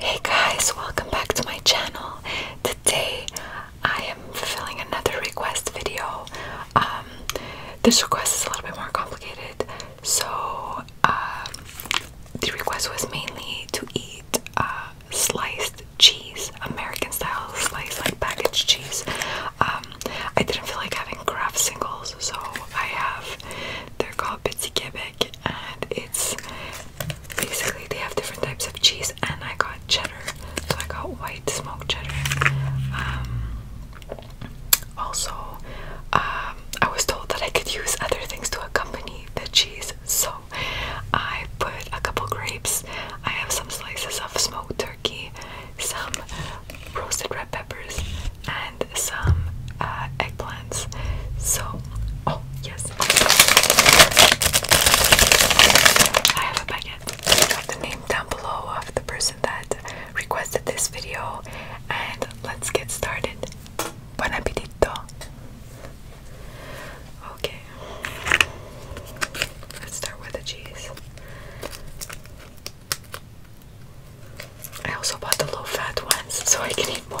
Hey guys, welcome back to my channel. Today I am fulfilling another request video. Um, this request is a little bit more complicated. So um, the request was mainly to eat uh, sliced cheese, American style sliced, like packaged cheese. Um, I didn't feel like having craft singles, so I have they're called Bitsy Quebec, and it's basically they have different types of cheese. And I got cheddar, so I got white smoked cheddar. Um, also, um, I was told that I could use other things to accompany the cheese, so I put a couple grapes. I have some slices of smoked turkey, some roasted red peppers, and some uh, eggplants. So, oh yes, I have a baguette. Write the name down below of the person that requested this video, and let's get started. Bon appetito. Okay, let's start with the cheese. I also bought the low-fat ones so I can eat more.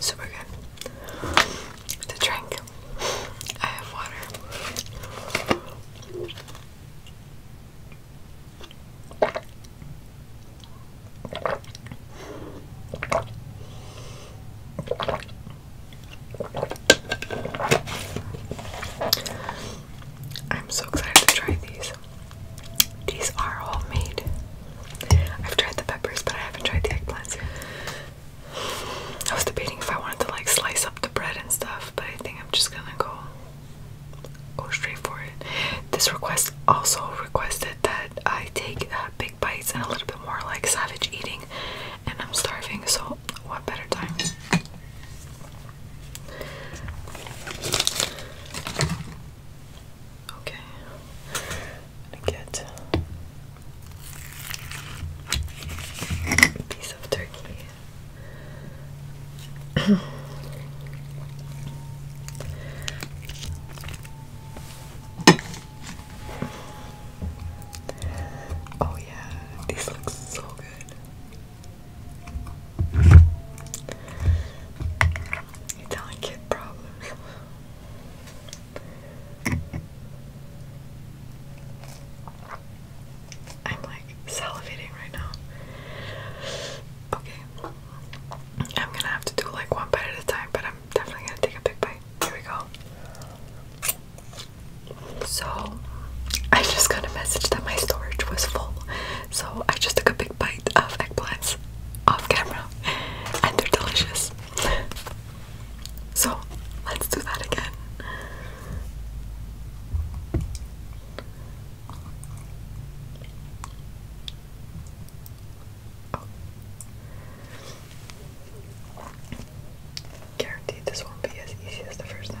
Super good. To drink, I have water. I'm so excited to try these. These are all made. I've tried the peppers, but I haven't tried the eggplants yet. I was debating if I wanted to like slice up the bread and stuff, but I think I'm just gonna go go straight for it. This request also requested that I take uh, big bites and a little bit more like savage eating, and I'm starving, so what better time? Okay, I get Piece of turkey. oh yeah, this looks so good. You're telling kid problems. I'm like salivating right now. Okay. I'm gonna have to do like one bite at a time, but I'm definitely gonna take a big bite. Here we go. So, I just got a message that my storage was full. So, I just took a big bite of eggplants off camera, and they're delicious. So let's do that again. Oh. Guaranteed this won't be as easy as the first time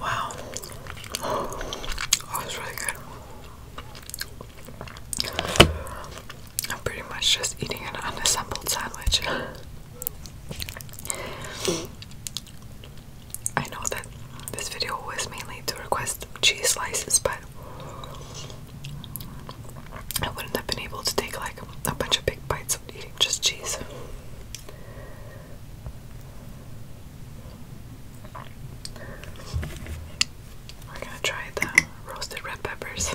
Wow. Oh, that was really good. I'm pretty much just eating an unassembled sandwich. I know that this video was mainly to request cheese slices, but I wouldn't have been able to take like a bunch of big bites of eating just cheese. We're gonna try the roasted red peppers.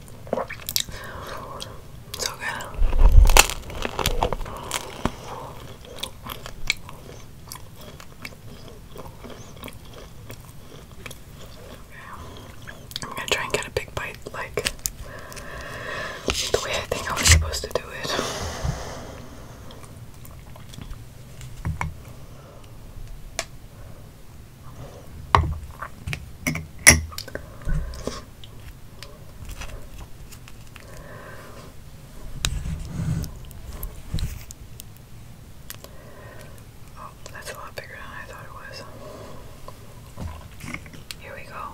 So good. I'm gonna try and get a big bite like the way I think I was supposed to do it. Oh, that's a lot bigger than I thought it was. Here we go.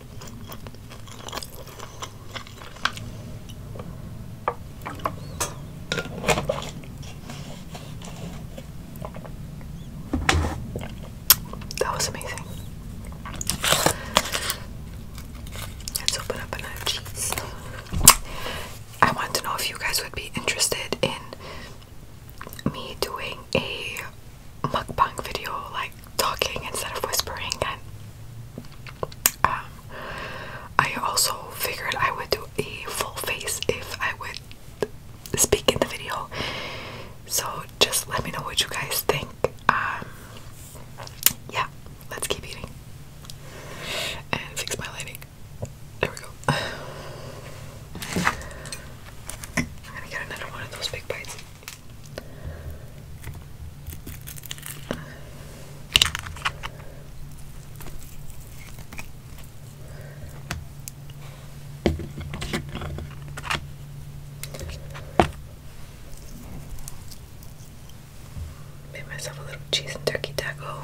That was amazing. Let's open up another cheese. I want to know if you guys would be interested in me doing a mukbang video like talking instead of whispering and um, I also figured I would do a full face if I would speak in the video. So just let me know what you guys think. Um, yeah, let's keep eating and fix my lighting. There we go. gonna get another one of those big bites. Made myself a little cheese and turkey taco.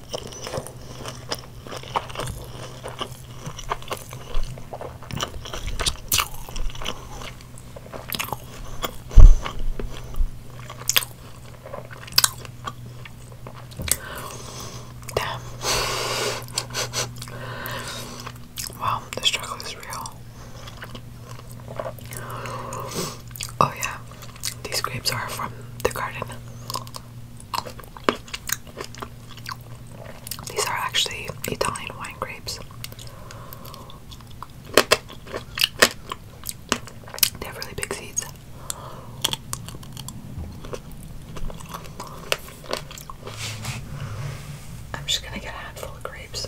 Damn. wow, the struggle is real. Oh, yeah, these grapes are from the garden. These are actually Italian wine grapes. They have really big seeds. I'm just gonna get a handful of grapes.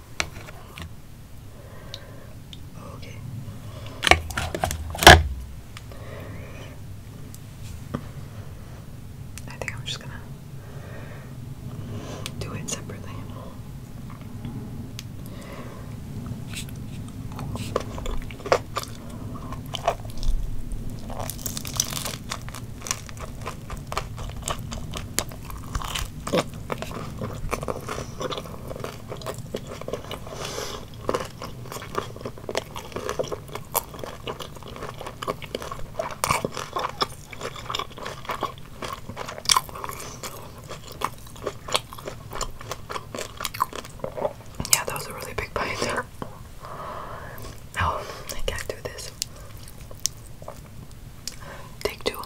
Okay. I think I'm just gonna do it separately. Yeah, that was a really big bite. Oh, I can't do this. Take two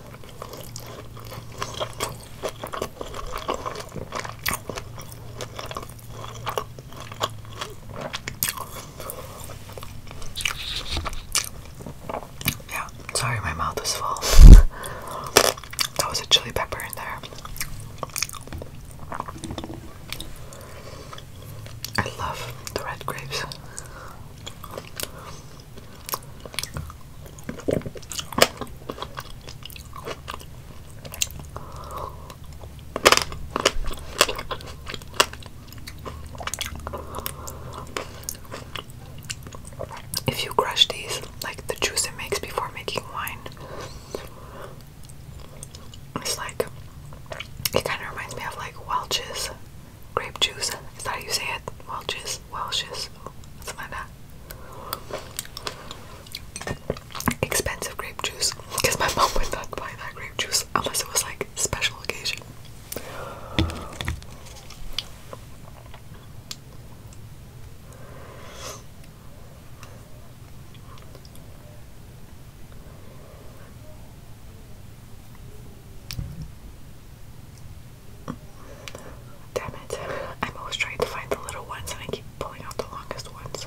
Yeah, sorry, my mouth is full. that was a chili pepper in there. I love the red grapes. If you crush these, like the juice it makes before making wine, it's like it kind of reminds me of like Welch's grape juice. Is that how you say it? Welch's, Welch's, something like that. Expensive grape juice, because my mom would not buy that grape juice unless it was like special occasion. Damn it. I'm always trying to find the little ones and I keep pulling out the longest ones.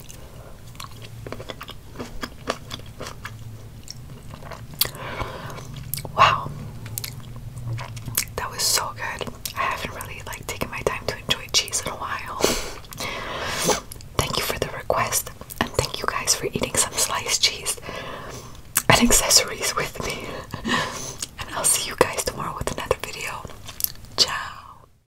Wow. That was so good. I haven't really like taken my time to enjoy cheese in a while. thank you for the request and thank you guys for eating some sliced cheese and accessories with me. and I'll see you guys tomorrow with another video. Ciao.